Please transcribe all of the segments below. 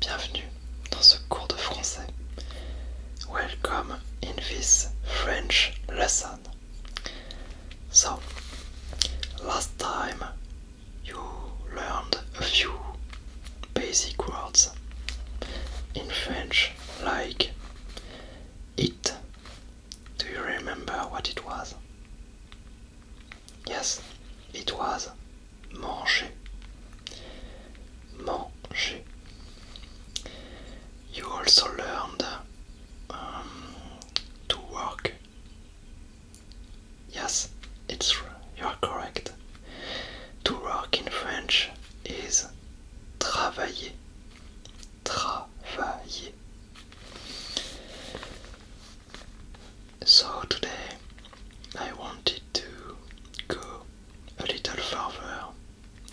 Bienvenue dans ce cours de français. Welcome in this French lesson. So, last time you learned a few basic words in French, like it. Do you remember what it was? Yes, it was manger. Manger. You also learned um, to work. Yes, it's you are correct. To work in French is travailler. Travailler. So today I wanted to go a little further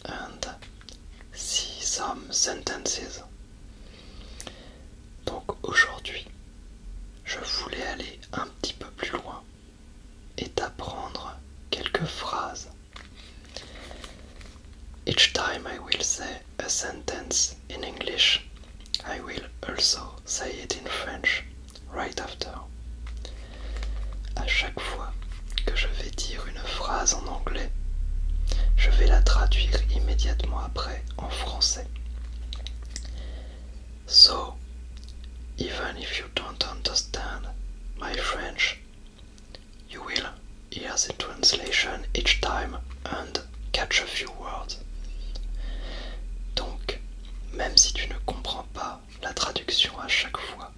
and see some sentences. Donc aujourd'hui, je voulais aller un petit peu plus loin et d'apprendre quelques phrases. Each time I will say a sentence in English, I will also say it in French right after. À chaque fois que je vais dire une phrase en anglais, je vais la traduire immédiatement après en français. So, even if you don't understand my French, you will hear the translation each time and catch a few words. Donc, même si tu ne comprends pas la traduction à chaque fois,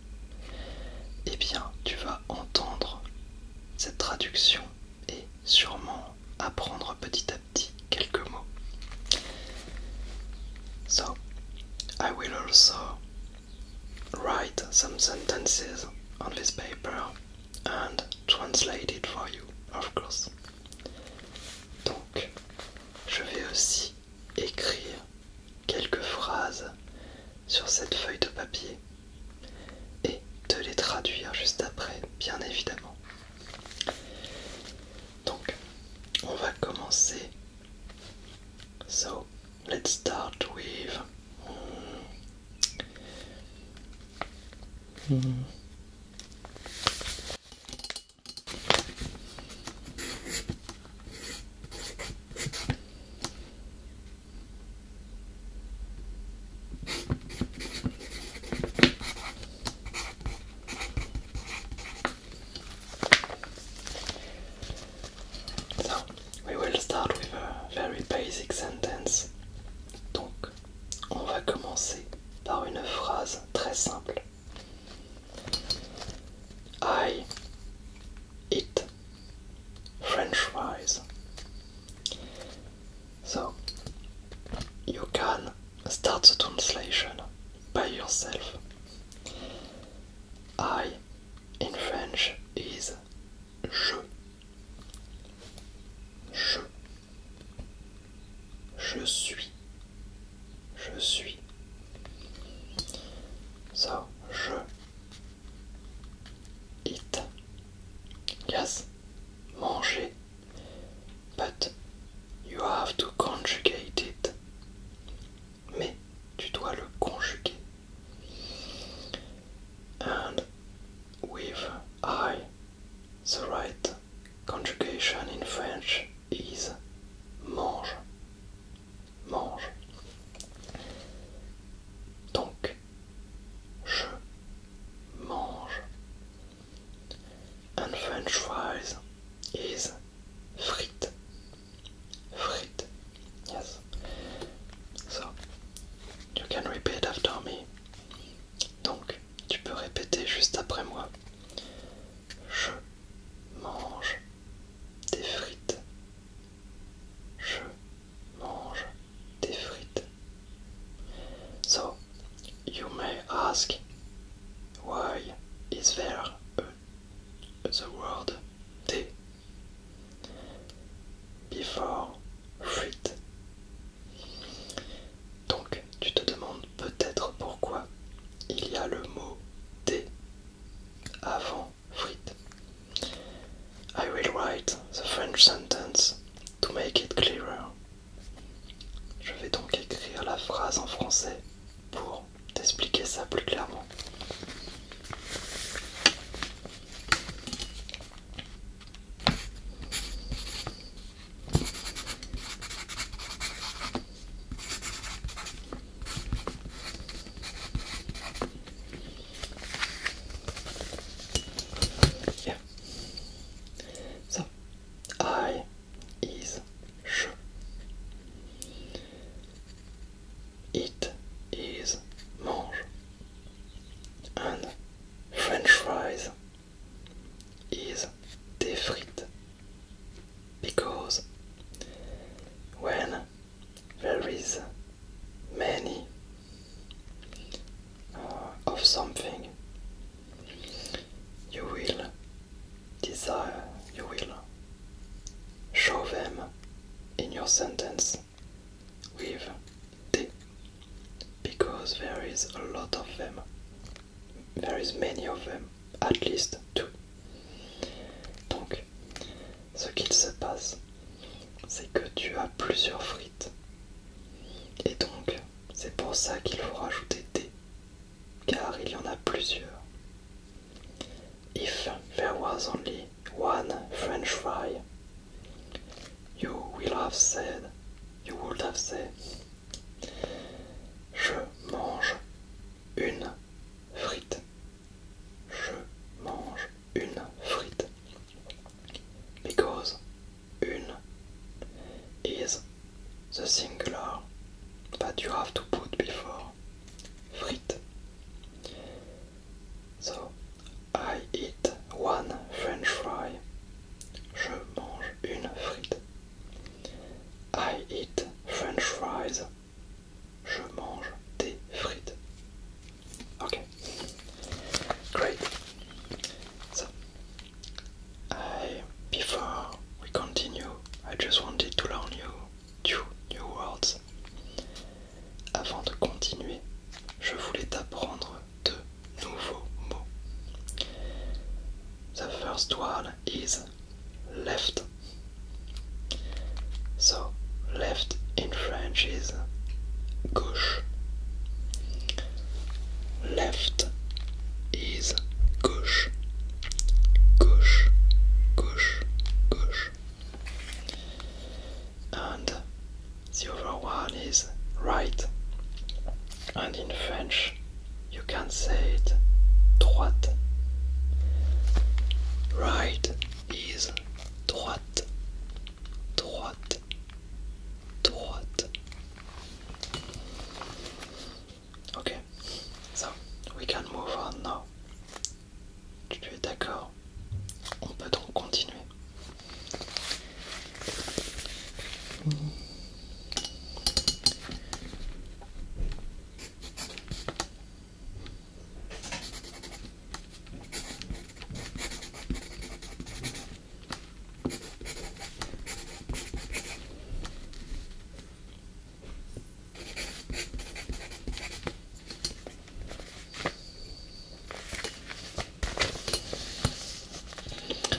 eh bien, tu vas entendre cette traduction et sûrement apprendre petit à quelques mots. So, I will also write some sentences on this paper and translate it for you, of course. Donc, je vais aussi écrire quelques phrases sur cette feuille de papier et te les traduire juste après, bien évidemment. Donc, on va commencer. So, let's start with. Hmm. So, we will start with a very basic sentence. Donc, on va commencer par une phrase très simple. I eat French fries. So, you can start the translation by yourself. I in French is je. Je. Je suis. Je suis. So, je. It. Yes. Manger. But you have to conjugate it. Mais tu dois le conjuguer. And with I, the right conjugation in French is mange. Mange. Donc, je mange. And French fries is frites. Frites. Yes. So, you can repeat after me. Donc, tu peux répéter juste après moi. Je mange des frites. Je mange des frites. So, you may ask, why is there a, the word d before fruit? Donc, tu te demandes peut-être pourquoi il y a le mot d avant fruit. I will write the French sentence to make it clearer. Je vais donc écrire la phrase en français pour t'expliquer ça plus clairement. is sh. It is mange. And French fries is defried Because when there is many uh, of something You will desire, you will show them in your sentence with D because there is a lot of them. There is many of them, at least two. Donc, ce qu'il se passe, c'est que tu as plusieurs frites. Et donc, c'est pour ça qu'il faut rajouter D car il y en a plusieurs. If there was only one French fry, you will have said, you would have said, je mange une frite. Je mange une frite. Because une is the singular that you have to put before frit. So I eat one French fry. Je mange une frite. I eat French fries. Je mange des frites. Okay. Great. So before we continue, I just wanted to learn you two new words. Avant de continuer, je voulais t'apprendre deux nouveaux mots. The first word is left. So, left in French is gauche. left is gauche, gauche, gauche, gauche. And the other one is right. And in French, you can say it droite. Right is droite, droite, droite, Ok, so we can move on now. Tu es d'accord On peut donc continuer.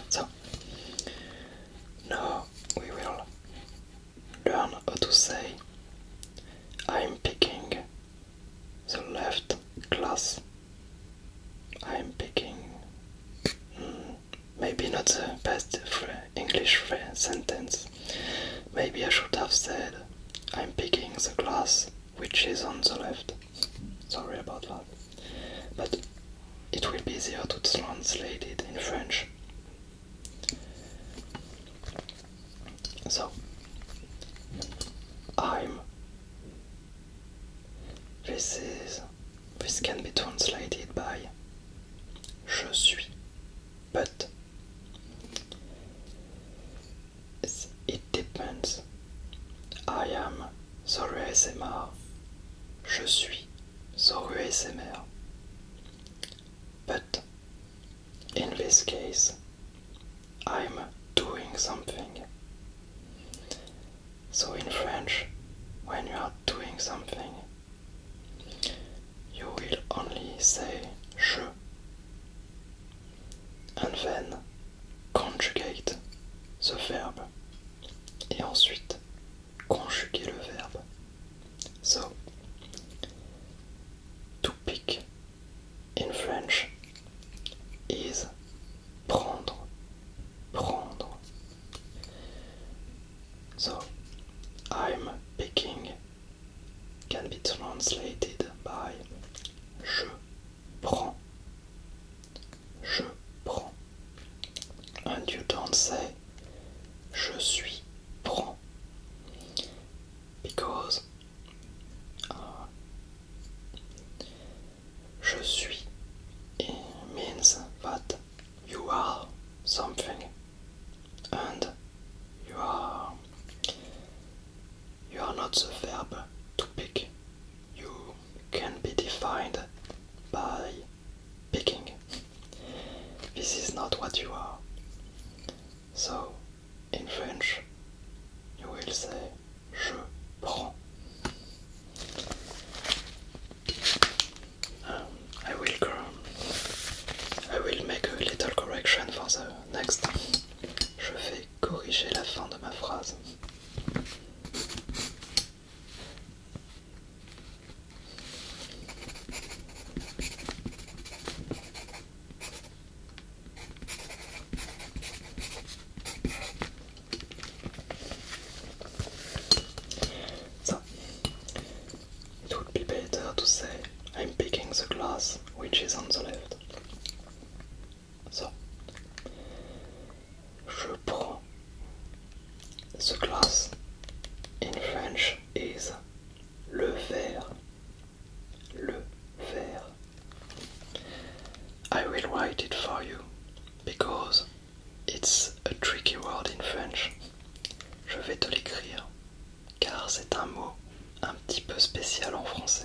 So now we will learn how to say I'm picking the left glass I'm picking hmm, maybe not the best English sentence. Maybe I should have said I'm picking the glass which is on the left. Sorry about that. But it will be easier to translate it in French. So, I'm this can be translated by je suis, but it depends. I am Zoru SMR. Je suis Zoru SMR. But in this case, I'm doing something. So, in French, when you are doing something, you will only say je and then conjugate the verb et ensuite conjuguer le verbe. So, to pick in French is prendre, prendre, So I'm picking can be translated by je prends. Je prends. And you don't say je suis prends. Because uh, Je suis. It means that you are something and you are you are not the verb to pick. You can be defined by picking. This is not what you are. So in French you will say je prends. I will I will make a little correction for the next. Je vais corriger la fin de ma phrase. So, it would be better to say I'm picking the glass which is on the left. So, je prends. The glass in French is le verre. Le verre. I will write it for you because It's a tricky word in French. Je vais te l'écrire, car c'est un mot un petit peu spécial en français.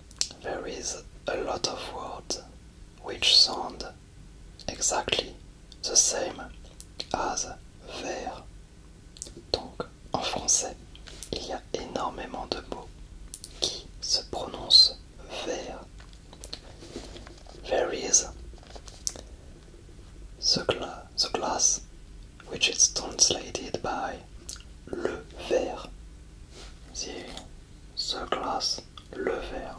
there is a lot of words which sound exactly the same as vert. Donc en français, il y a énormément de mots qui se prononcent vert. There is the, gla the glass which is translated by le verre. The, the le lever,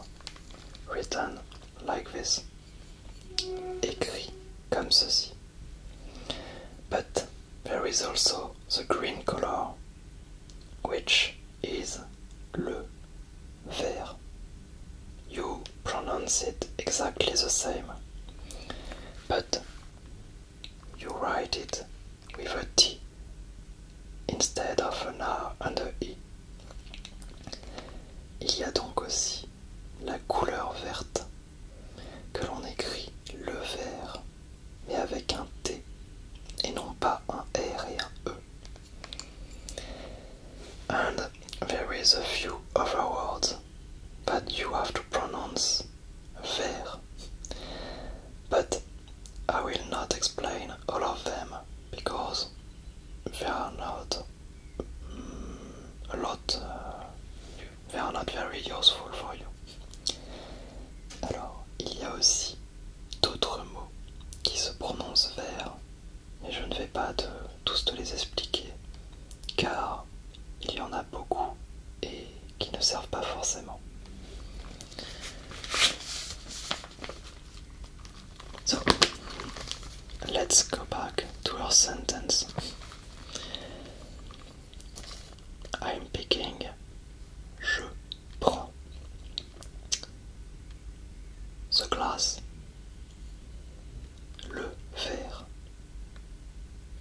written like this, écrit comme ceci. But there is also the green color, which is le vert. You pronounce it exactly the same, but you write it with a T instead of an R and a E. Il y a donc aussi la couleur verte que l'on écrit le vert mais avec un T et non pas un R et un E. And there is a few other words but you have to pronounce ver. I will not explain all of them because they are not mm, a lot, uh, they are not very useful for you. Alors, il y a aussi d'autres mots qui se prononcent vers, et je ne vais pas tous te les expliquer car il y en a beaucoup et qui ne servent pas forcément. So, let's go back to our sentence. I'm picking. Je prends. The glass. Le verre.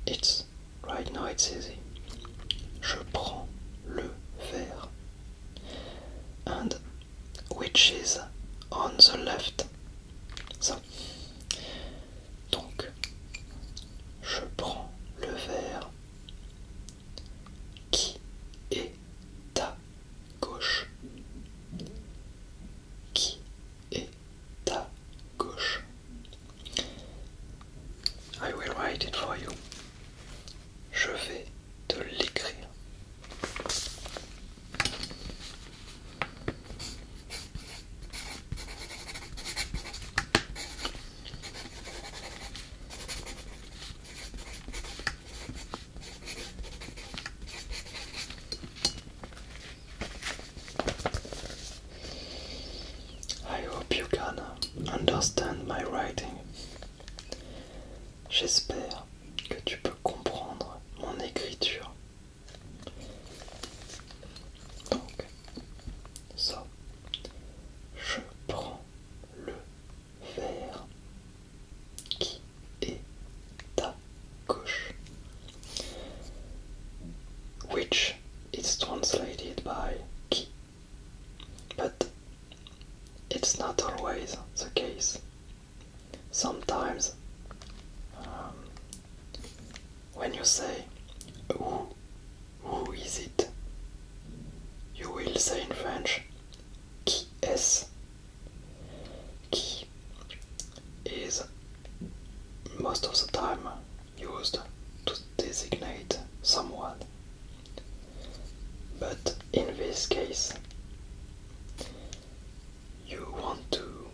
It's Right now it's easy. Je prends le verre. And which is on the left. So Donc, je prends le verre qui est ta gauche. Qui est ta gauche I will write it for you. Je vais te l'écrire. I hope you can understand my writing. J'espère que tu peux comprendre mon écriture. Donc, ça, je prends le verre qui est à gauche, which is translated by qui but it's not always the case. Sometimes, um, when you say, who, who is it? You will say in French, qui est? Qui is most of the time used to designate someone. But in this case, you want to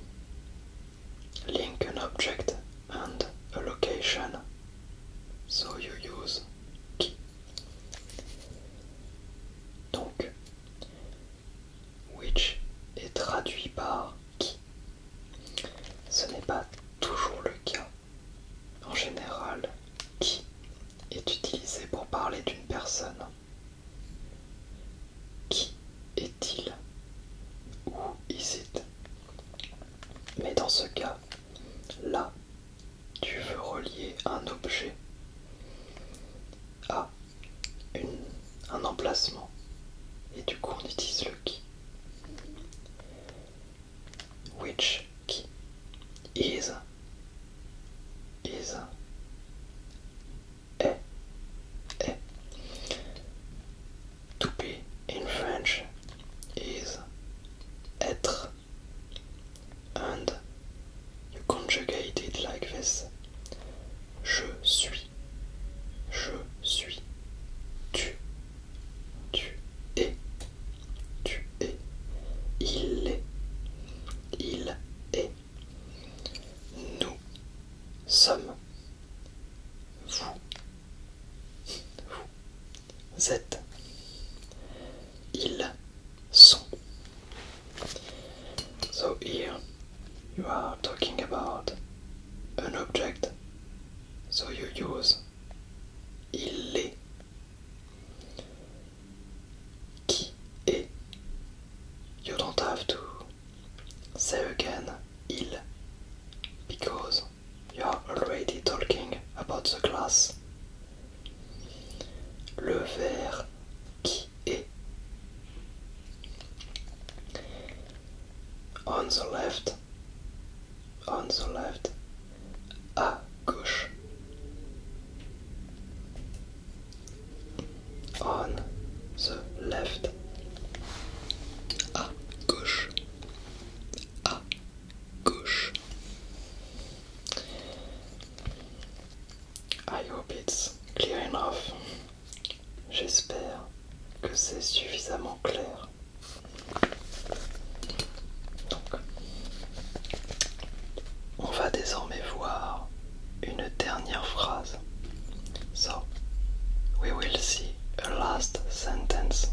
link an object and a location, so you use qui. Donc, which est traduit par qui. Ce n'est pas toujours le cas. En général, qui est utilisé pour parler d'une personne. Qui est-il Où is it Mais dans ce cas, là, tu veux relier un objet à un emplacement. Et du coup, on utilise le qui which qui is is to be in French is être and you conjugate it like this je suis je suis tu tu es. Tu es. Il est. Il est. Nous sommes. Vous. Vous êtes. Ils sont. So here you are talking about an object. So you use il est. Qui est You don't have to say again il because you are already talking about the glass. Le verre qui est on the left, on the left, à gauche, on the left, à gauche, à gauche. I hope it's clear enough. J'espère que c'est suffisamment clair. Donc, on va désormais voir une dernière phrase. So, we will see a last sentence.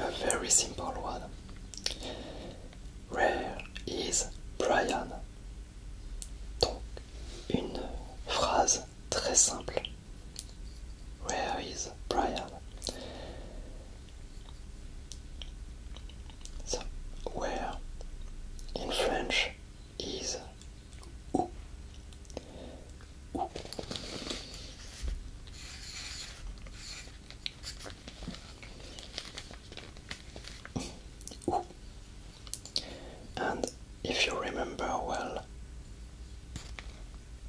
A very simple one. Where is Brian? Donc, une phrase très simple. Where is Brian? where in French is and if you remember well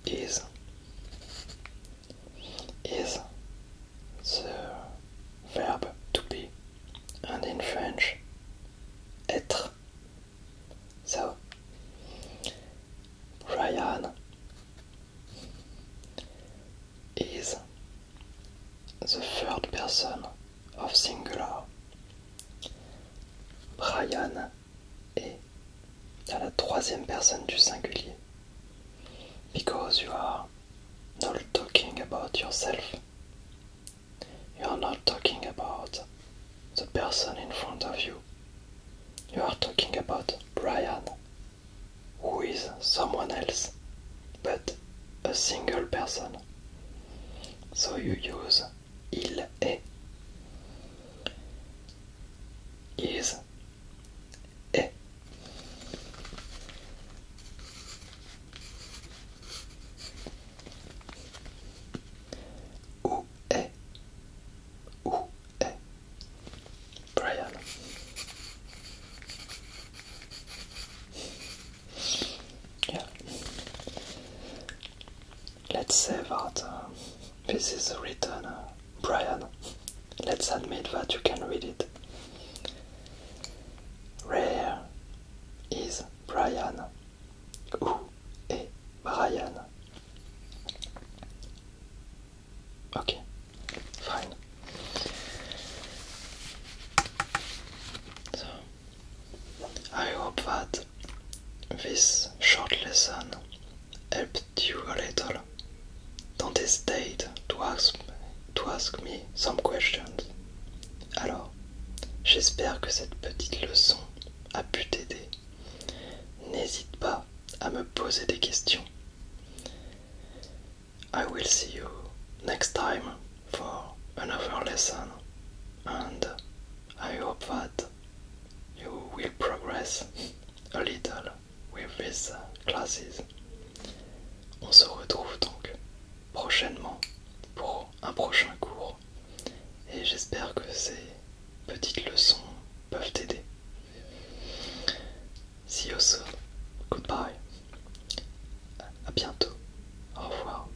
is is the verb to be and in French être so Ryan is the third person of Singular. Brian est à la troisième personne du singulier. Because you are not talking about yourself. You are not talking about the person in front of you. You are talking about Brian, who is someone else, but a single person. So you use il e is, est. Où est, où est Brian? Yeah. Let's say that this is written, uh, Brian. Let's admit that you can read it. Rare is Brian. Who is Brian? Okay, fine. So I hope that this short lesson helped you a little. Don't hesitate to ask, to ask me some questions. Alors, j'espère que cette petite leçon a pu t'aider. N'hésite pas à me poser des questions. I will see you next time for another lesson, and I hope that you will progress a little with these classes. On se retrouve donc prochainement pour un prochain cours et j'espère que ces petites leçons peuvent t'aider. See you soon. Goodbye. À bientôt. Au revoir.